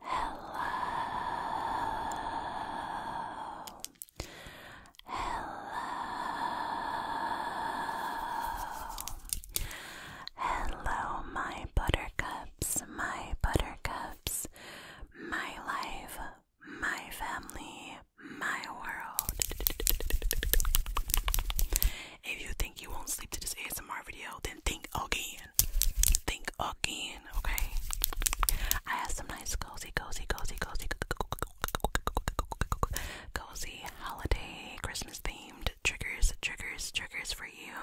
Hello. Hello. Hello, my buttercups, my buttercups, my life, my family, my world. If you think you won't sleep to this ASMR video, then think, okay, again. Think again, okay? I have some nice cozy, cozy, cozy, cozy, cozy holiday, Christmas themed triggers, triggers, triggers for you.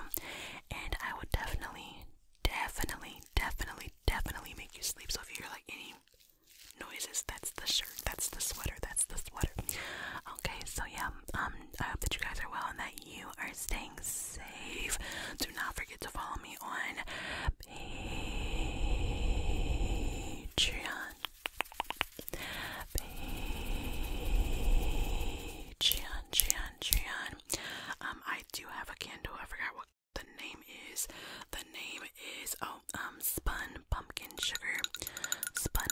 And I would definitely, definitely, definitely, definitely make you sleep. So if you hear like any noises, that's the shirt, that's the sweater, that's the sweater. Okay, so yeah, um, I hope that you guys are well and that you are staying safe. Do not forget to follow me on Patreon. Patreon, Patreon, Patreon. Um, I do have a candle. I forgot what the name is. The name is oh um spun pumpkin sugar, spun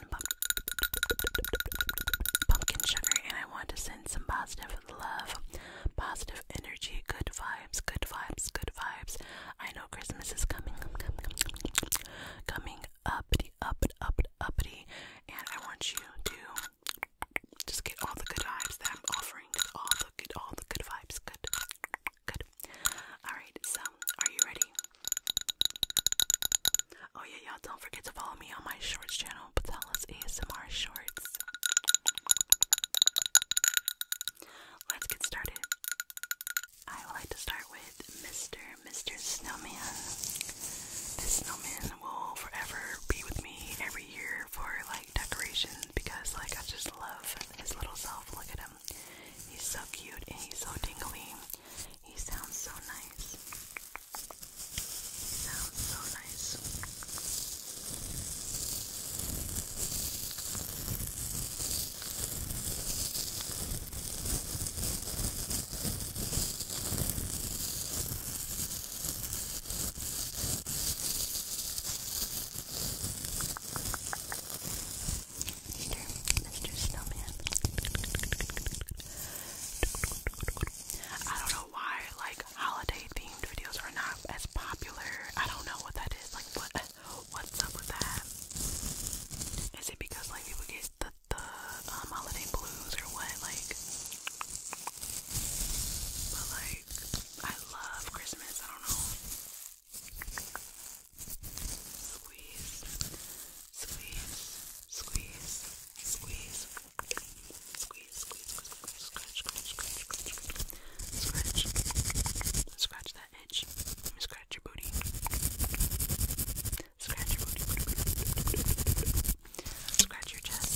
pumpkin sugar, and I want to send some positive love, positive energy, good vibes, good vibes, good vibes. I know Christmas is coming, coming uppity, up, up, uppity, and I want you to just get all the good vibes that I'm offering. All all the good vibes, good, good. All right, so are you ready? Oh yeah, y'all! Don't forget to follow me on my Shorts channel now ASMR shorts. Let's get started. I like to start with Mr. Mr. Snowman. This snowman will forever be with me every year for like decoration because like I just love his little self. Look at him. He's so cute and he's so tingly. He sounds so nice. Sounds so nice. Mr. Mr. Snowman. I don't know why like holiday themed videos are not as popular. I don't know what that is. Like what what's up with that? Is it because like people get the um, holiday blues or what? Like But like I love Christmas. I don't know. Squeeze. Squeeze. Squeeze. Squeeze. Squeeze, squeeze, squeeze, scratch, scratch, scratch, scratch, scratch, scratch. Scratch that edge. Let me scratch your booty. Scratch your booty. Scratch your chest.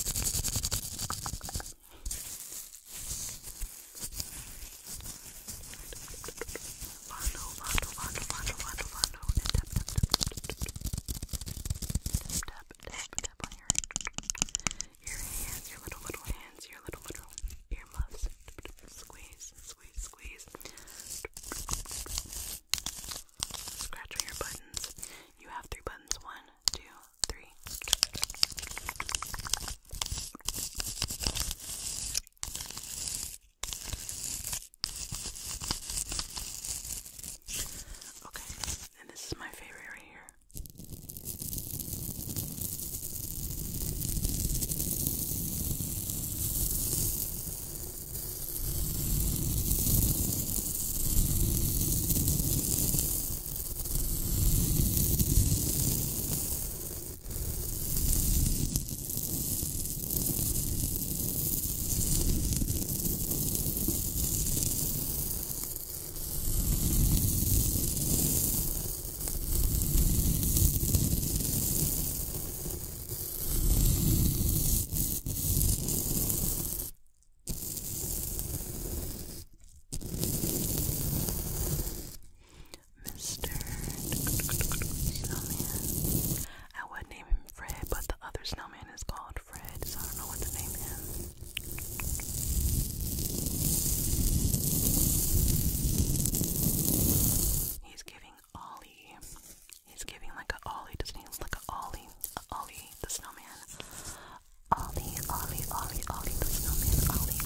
Vando, vando, vando, vando, vando, vando, and tap, tap, tap, tap, tap, tap, tap, your, hands, your little, little hands, your little, little earmuffs. Squeeze, squeeze, squeeze. Scratch your buttons. You have three buttons. One, two, three. Okay, and this is my favorite right here. Mr. Sylvian. I would name him Fred, but the other snowman is called Fred, so I don't know what the name is. He's giving Ollie. He's giving like a Ollie. Doesn't he look like a Ollie? A Ollie the snowman. Ollie, Ollie, Ollie, Ollie the snowman. Ollie.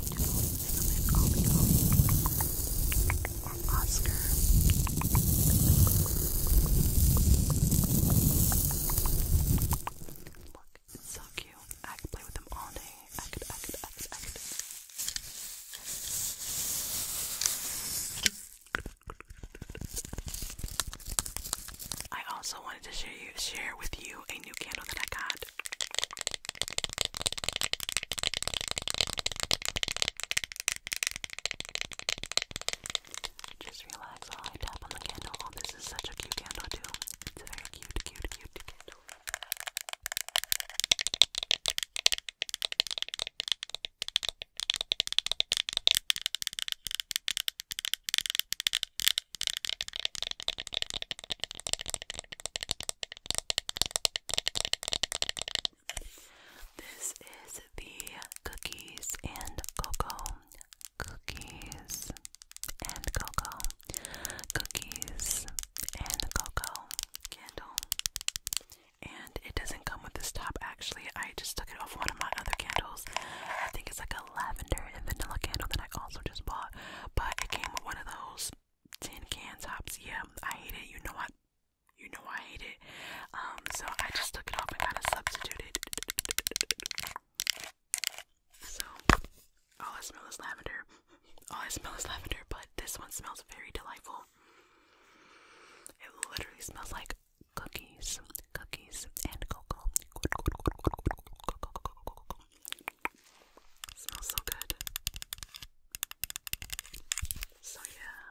Snowman, Ollie, Ollie. Oscar. Look, so cute. I could play with them all day. I could, I could, I could, I could. I also wanted to share, you, share with you a new candle that I got. Just relax while I tap on the candle. Oh, this is such a cute candle, too. It's a very cute, cute, cute candle. This is the cookies and cocoa. Cookies and cocoa. Cookies and cocoa candle. And it doesn't come with this top actually. I just took it off one of my other candles. I think it's like a lavender and vanilla candle that I also just bought. But it came with one of those tin can tops. Yeah, I hate it. You know what? you know I hate it. Um, so I just took it off and kind of substituted. So all I smell is lavender. All I smell is lavender, but this one smells very delightful. It literally smells like cookies, cookies, and cocoa. smells so good. So yeah.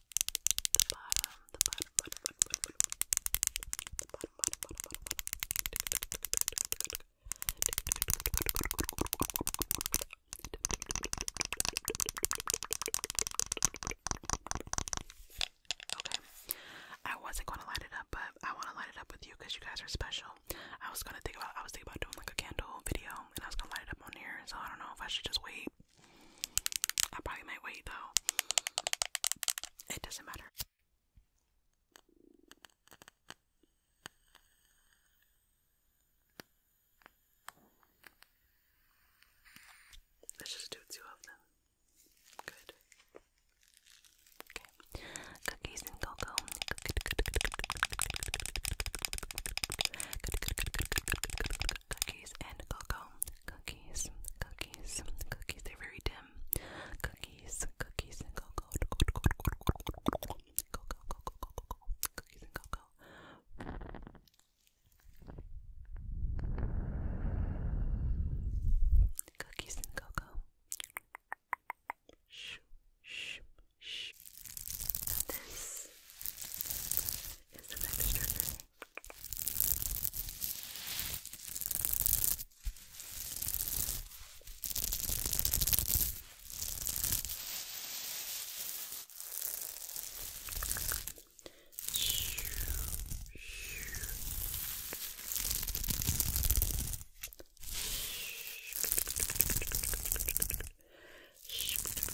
Okay, I wasn't gonna light it up, but I want to light it up with you because you guys are special. I was gonna think about, I was thinking about doing like a candle video, and I was gonna light it up on here. So I don't know if I should just wait I probably might wait though. It doesn't matter. Let's just do two of them. Good. Okay. Cookies and cocoa. Cookies and cocoa. Cookies, cookies, cookies. They're very dim. Cookies, cookies and cocoa. Cocoa, cocoa, cocoa, cocoa. Cookies and cocoa. Cookies and cocoa. Shh, shh, Shh. And this is an extra thing. Scratch, scratch, scratch,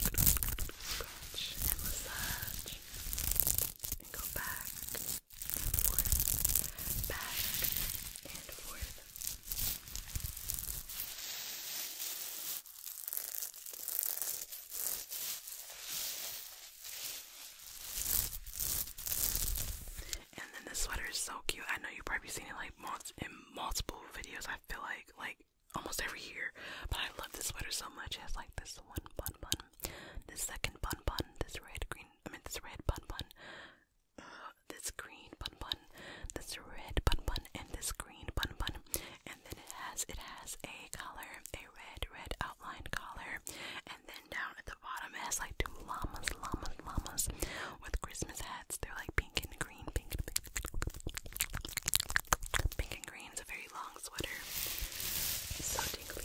scratch, and massage, and go back and forth, back and forth. And then this sweater is so cute. I know you've probably seen it like in multiple videos. I feel like like almost every year, but I love this sweater so much. It has like this one bun bun, this second bun bun, this red green. I mean this red bun bun, uh, this green bun bun, this red bun bun, and this green bun bun and then it has it has a color, a red red outline collar, and then down at the bottom it has like two llamas, llamas, llamas with Christmas hats. They're like pink and green, pink, and pink, pink and green. is a very long sweater, so tingly.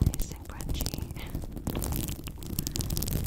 Nice and crunchy. nice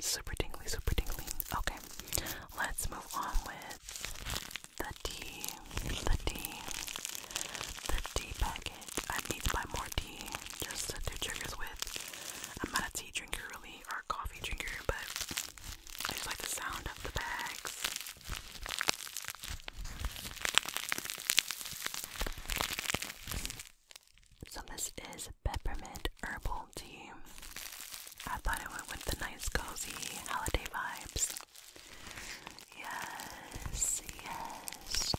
Super tingly, super tingly. Okay, let's move on with the tea, the tea, the tea packet. I need to buy more tea just to do triggers with. I'm not a tea drinker really, or a coffee drinker, but I just like the sound of the bags. So this is peppermint herbal tea. I thought it went with the nice cozy holiday vibes. Yes, yes.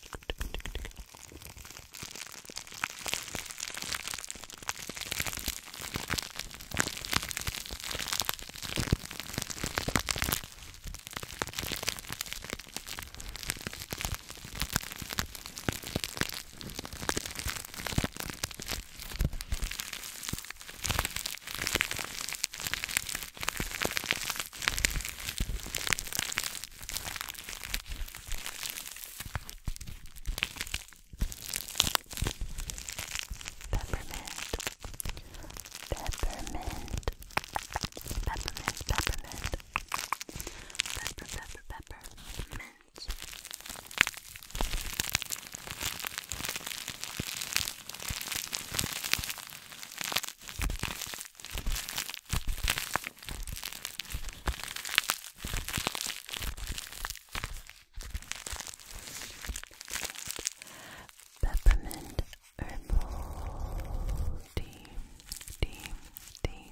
Peppermint, peppermint, peppermint, peppermint, pepper, pepper, peppermint hands. Peppermint herbal tea, tea, tea,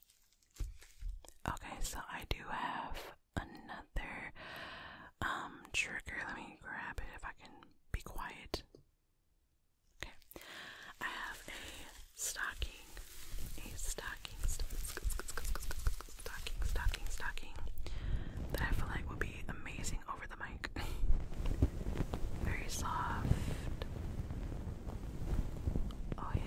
Okay, so I do have another um trigger. Let me grab it if I can be quiet. Okay. I have a stocking. A stocking stocking stocking stocking stocking that I feel like would be amazing over the mic. Very soft. Oh, yeah.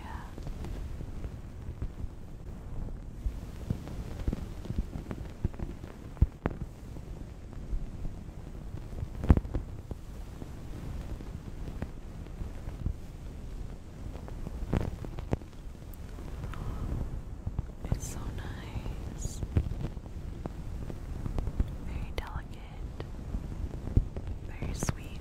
It's so nice, very delicate, very sweet.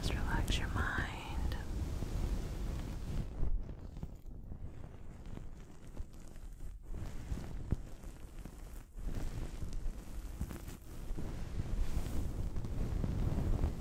Just relax your mind. Good.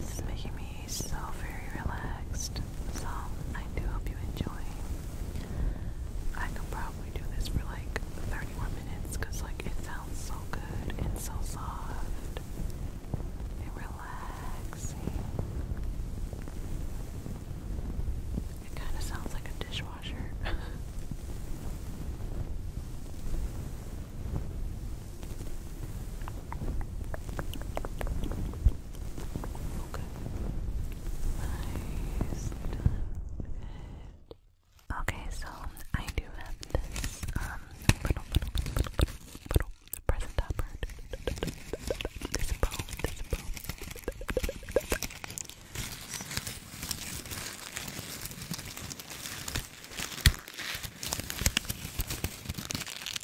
This is making me so very relaxed, so I do hope you enjoy. I could probably do this for like 30 minutes because like it sounds so good and so soft and relaxing. It kind of sounds like a dishwasher. Okay. Nicely Okay, so I do have this little little little little, present topper. This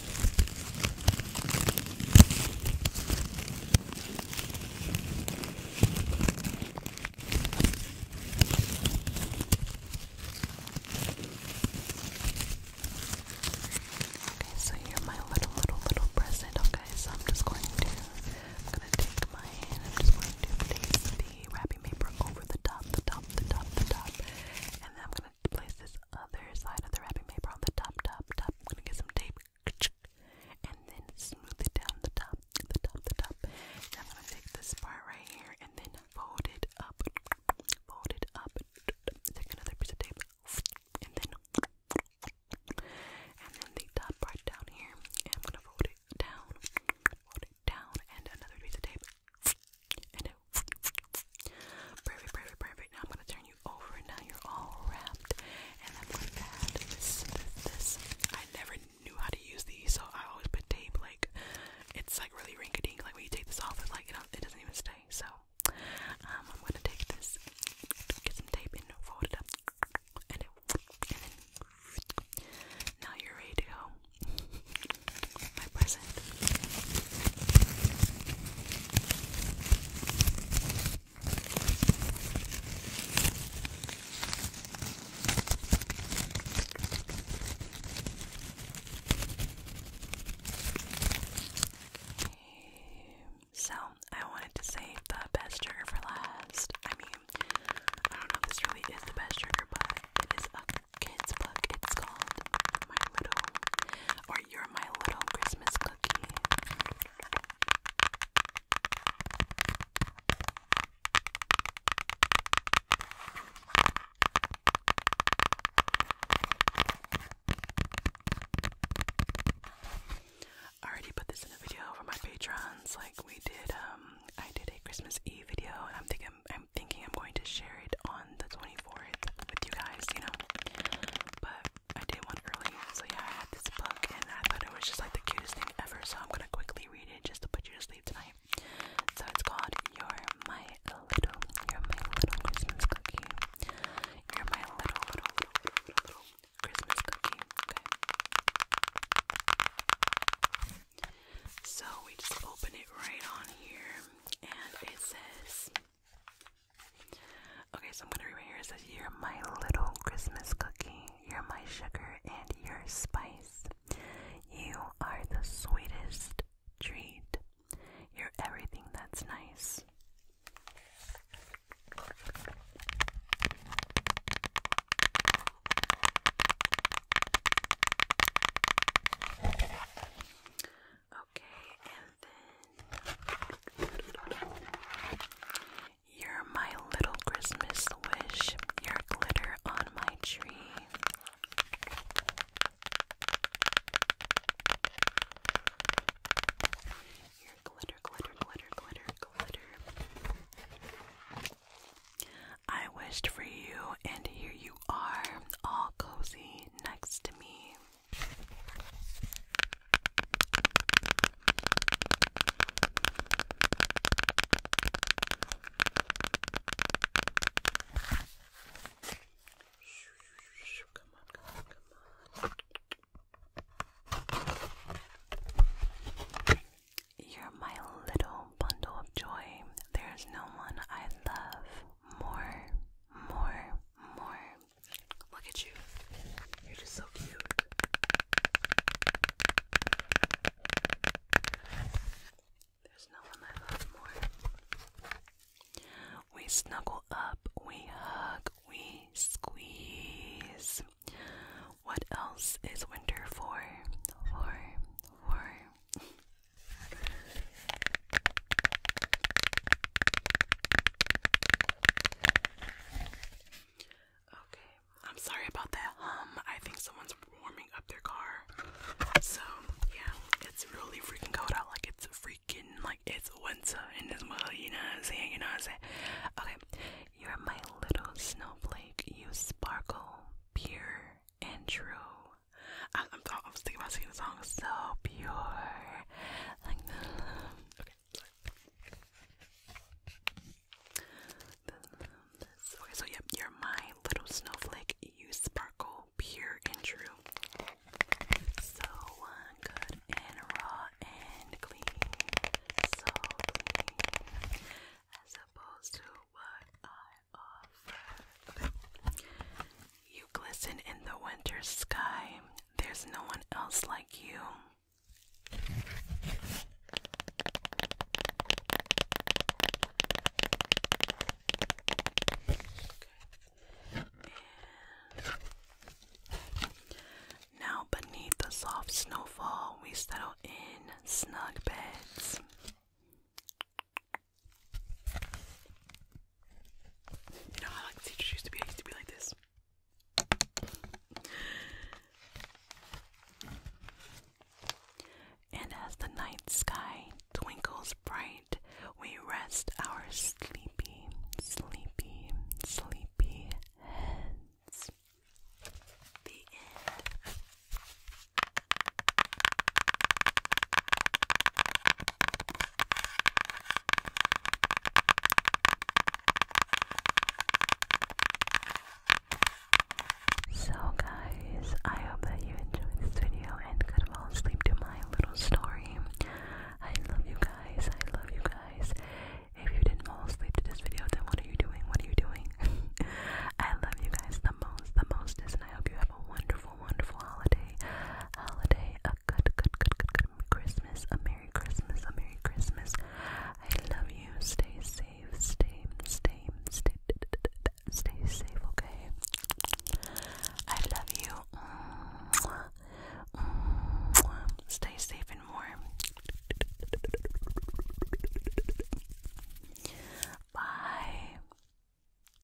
Okay, so you're my little, little, little present. Okay, so I'm just going to, I'm gonna take my hand. I'm just going to place the wrapping paper over the top, the top, the top, the top, and I'm gonna gonna place this other side of the wrapping paper on the top, top, top. I'm gonna get some tape and then smooth it down the top, the top, the top. Now I'm gonna take this part right here and then fold it up, fold it up. Take another piece of tape and then and then the top part down here. And I'm gonna fold it down, fold it down, and another piece of tape. And then perfect, perfect, perfect. Now I'm gonna turn you over and now you're all wrapped. And I'm going to add this, I never knew how to use these, so I always put tape. Like it's like really rinky-dink. Like when you take this off, it's like it, it doesn't even stay. So um, I'm going to take this, get some tape, and fold it up, and, it, now you're ready to go. My present. So, I wanted to save the best trigger for last. I mean, I don't know if this really is the best trigger, but it is a kid's book. It's called My Little, you're My Little Christmas Cookie. I already put this in a video for my patrons. Like we did, um, I did a Christmas Eve video, and I'm thinking, I'm thinking I'm going to share it on the 24th with you guys, you know. But I did one early, so yeah, I had this book and I thought it was just like the cutest thing ever, so I'm gonna quickly read it just to put you to sleep tonight. So it's called You're My Little, You're My Little Christmas Cookie. You're My Little, Little, Little, Little, little Christmas Cookie. Okay. So we just open it right on here and it says Okay, so I'm gonna read right here. It says, You're my little Christmas cookie. You're my sugar and your spice. You are the sweetest treat. You're everything that's nice. Okay, and then you're my little Christmas wish. You're glitter on my tree. You're glitter, glitter, glitter, glitter, glitter. I wished for you, and here you are, all cozy next to me. You're my little bundle of joy. There's no one I love more, more, more. Look at you. You're just so cute. There's no one I love more. We snuggle up, we hug, we squeeze. What else is winter for? For, for. Okay, I'm sorry about that hum. I think someone's warming up their car. So, yeah, it's really freaking cold out. Like, it's freaking, like, it's winter in this world, you know what I'm saying? You know what I'm saying? Okay, you're my little snowflake. You sparkle, pure, and true. I, am thinking about singing the song so pure, Okay, so yep, you're my little snowflake. You sparkle pure and true. So uh, good and raw and clean. So clean. As opposed to what I offer. You glisten in the winter sky. There's no one else like you. now, beneath the soft snowfall, we settle in snug beds. You know how teachers used to be? I used to be like this. And as the night sky twinkles bright, we rest our sleepy, sleepy, sleepy heads. The end. So guys, I hope that you enjoyed this video and could fall asleep to my little story. I love you guys, I love you guys. If you didn't fall asleep to this video, then what are you doing? What are you doing? I love you guys the most, the most, and I hope you have a wonderful wonderful, wonderful holiday. Holiday, a good, good, good, good, good Christmas, a Merry Christmas, a Merry Christmas. I love you. Stay safe, stay, stay, stay, stay safe, okay? I love you. Mwah. Mwah. Stay safe and warm. Bye.